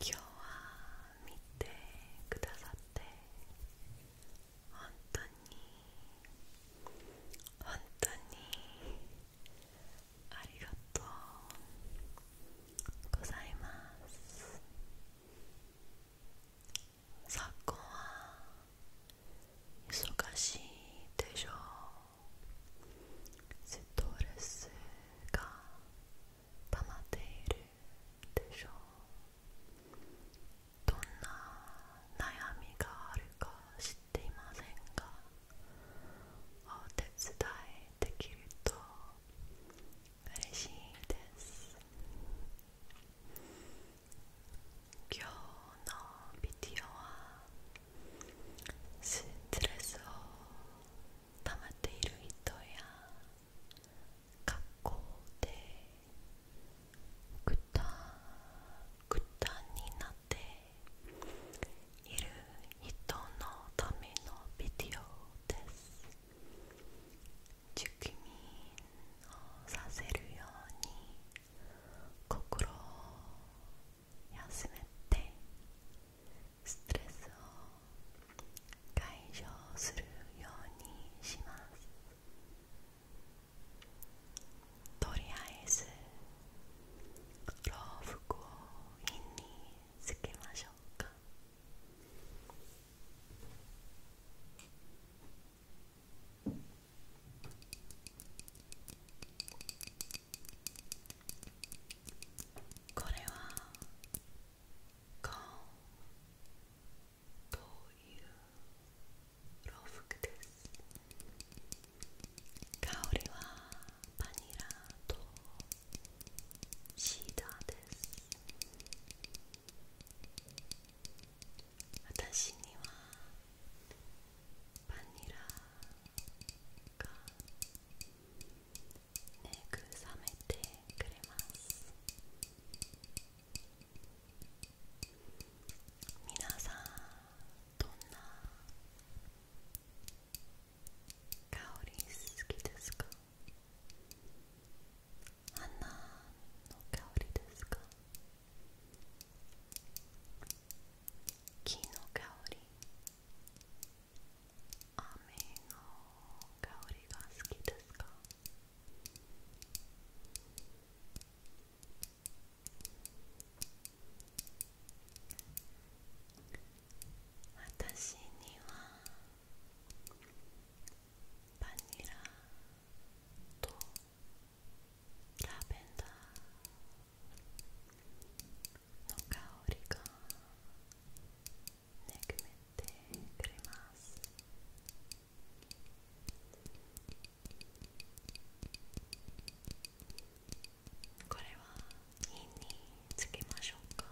今日は見てくださって本当に本当にありがとうございます昨今忙しいでしょうストレスが溜まっているでしょうどんな悩みがあるか知っていませんがお手伝いできると嬉しいです今日のビデオはストレスを溜まっている人や学校でぐたぐたになっている人のためのビデオです受験をさせるように心休めてストレスを解消するようにしますとりあえず洋服をインにつけましょうかこれは顔という洋服です香りはバニラとシーダーです私にはバニラがね、くさめてくれます皆さんどんな香り好きですかあなの香りですかきの香りアメの香りが好きですか私にはバニラとラベンダーの香りが恵めてくれますこれは火につけましょうか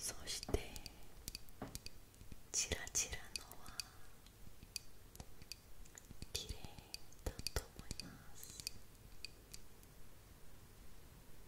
そしてチラチラのは綺麗だと思います。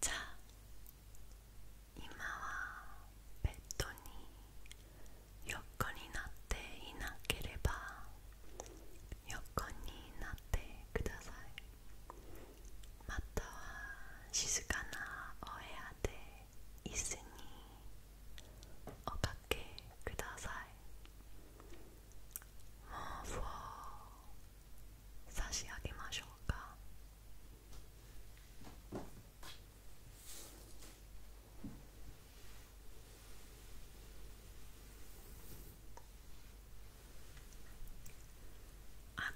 じゃあ今はベッドに横になっていなければ横になってくださいまたは静かなお部屋で椅子におかけくださいもう、毛布ー。差し上げましょうか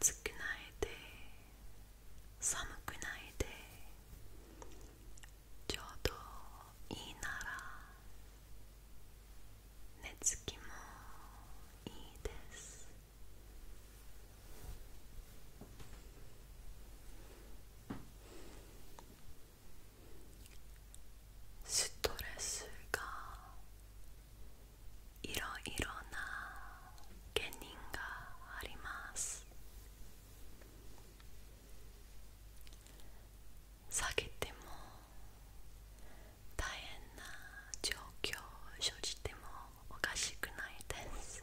暑くないで寒くないでちょうどいいなら寝つきもいいですストレスがいろいろな原因があります下げても大変な状況を生じてもおかしくないです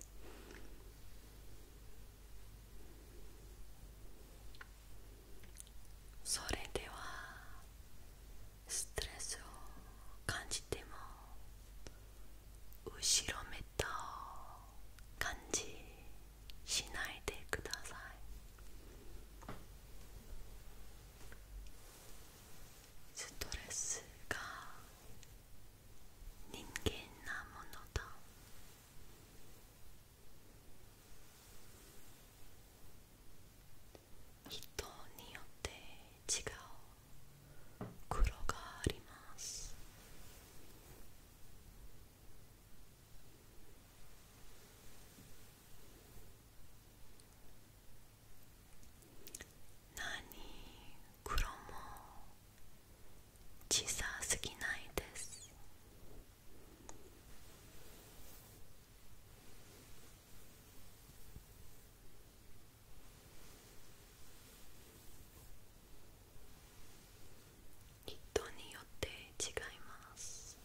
それではストレスを感じても後ろめた感じしないでくださいストレスが人間なものだ人によって違う黒があります何黒も小さすぎないです人によって違います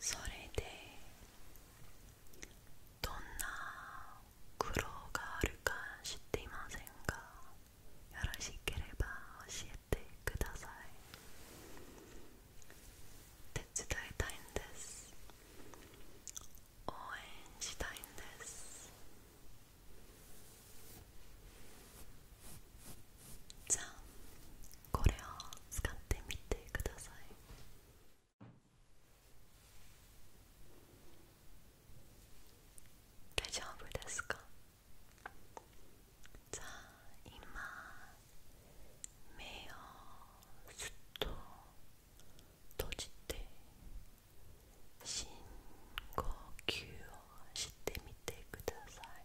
それでどんな苦労があるか知っていませんが、よろしければ教えてください手伝いたいんです応援したいんですじゃあこれを使ってみてください大丈夫ですか 자, 이마매어스토도지떼신고규어시떼밑에그다사이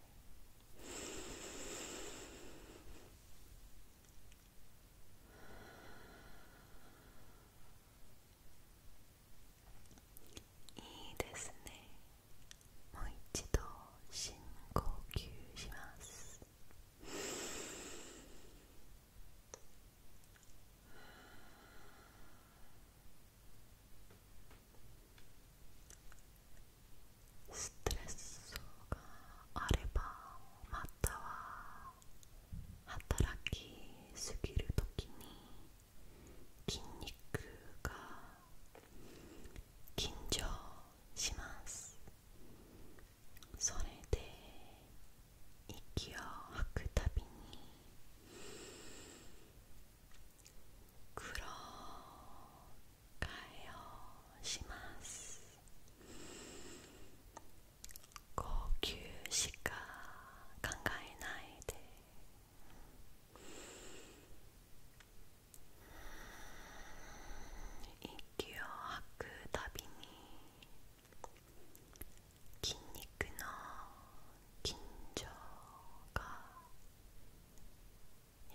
이ですねもう一度深呼吸しますストレスがあればまたは働きすぎるときに筋肉が緊張しますそれで息を吐くたびに苦労解をします呼吸しか考えないで息を吐くたびに筋肉の緊張が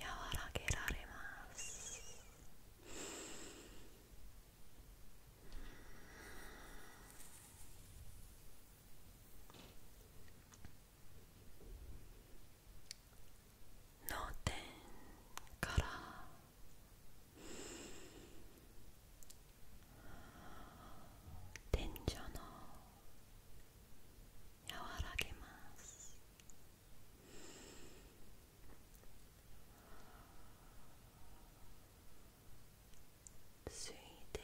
和らげられます脳天から天井の和らげますついで。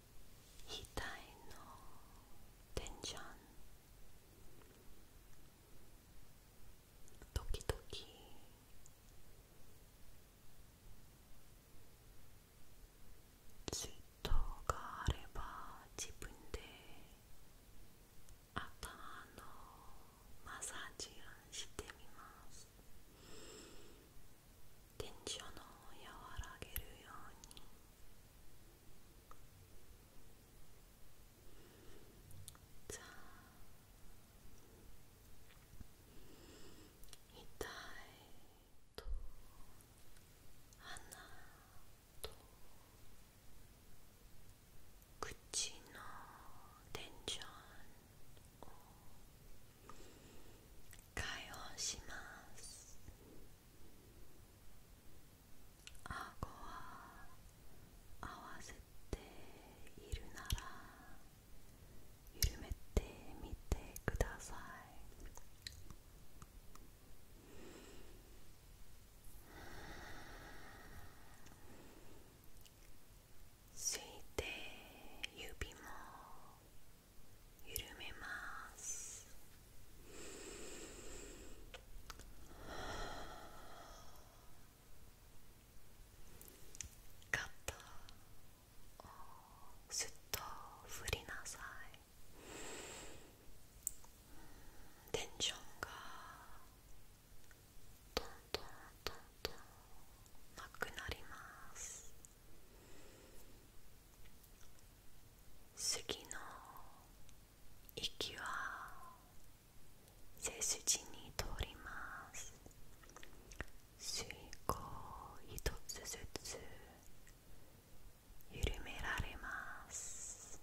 いのテンション時々ツイートがあれば自分で頭のマッサージしてみますテンションを和らげるように痛いと鼻と口のテンションを解放します。あごは合わせているなら緩めてみてください吸いて指も緩めます肩をすっと振りなさいテンションがどんどんどんどんなくなります。次の息は背筋に通ります吸い口一つずつ緩められます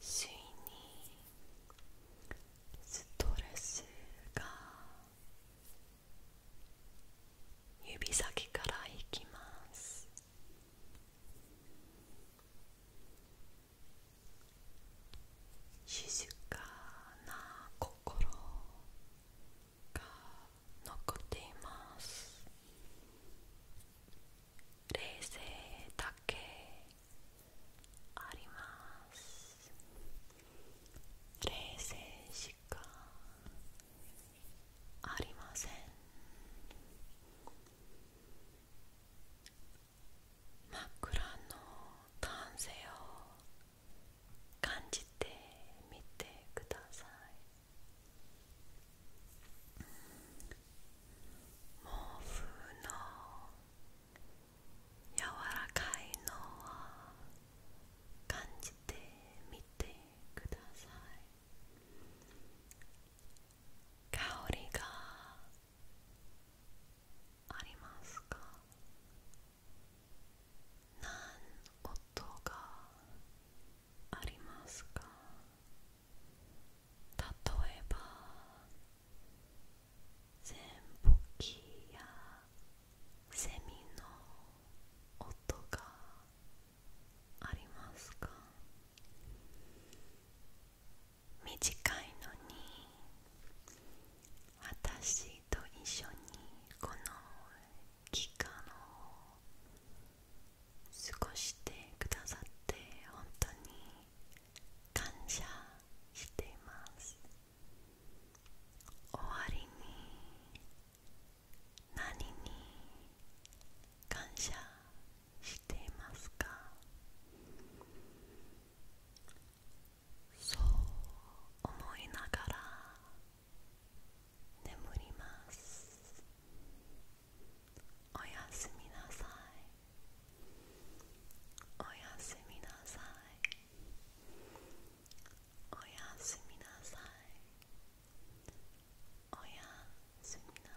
ついにストレスが指先からいきます静かな心が残っています冷静だけあります冷静しかありません枕の男性を感じてみてください毛布の柔らかいのは感じてみてください香りがありますか何音がありますか例えば全ぼきやセミの音がありますか短いのに私と一緒にこの期間を過ごしてくださって本当に感謝しています終わりに何に感謝していますかそう思いながら眠りますおやすみなさいおやすみなさいおやすみなさいおやすみなさい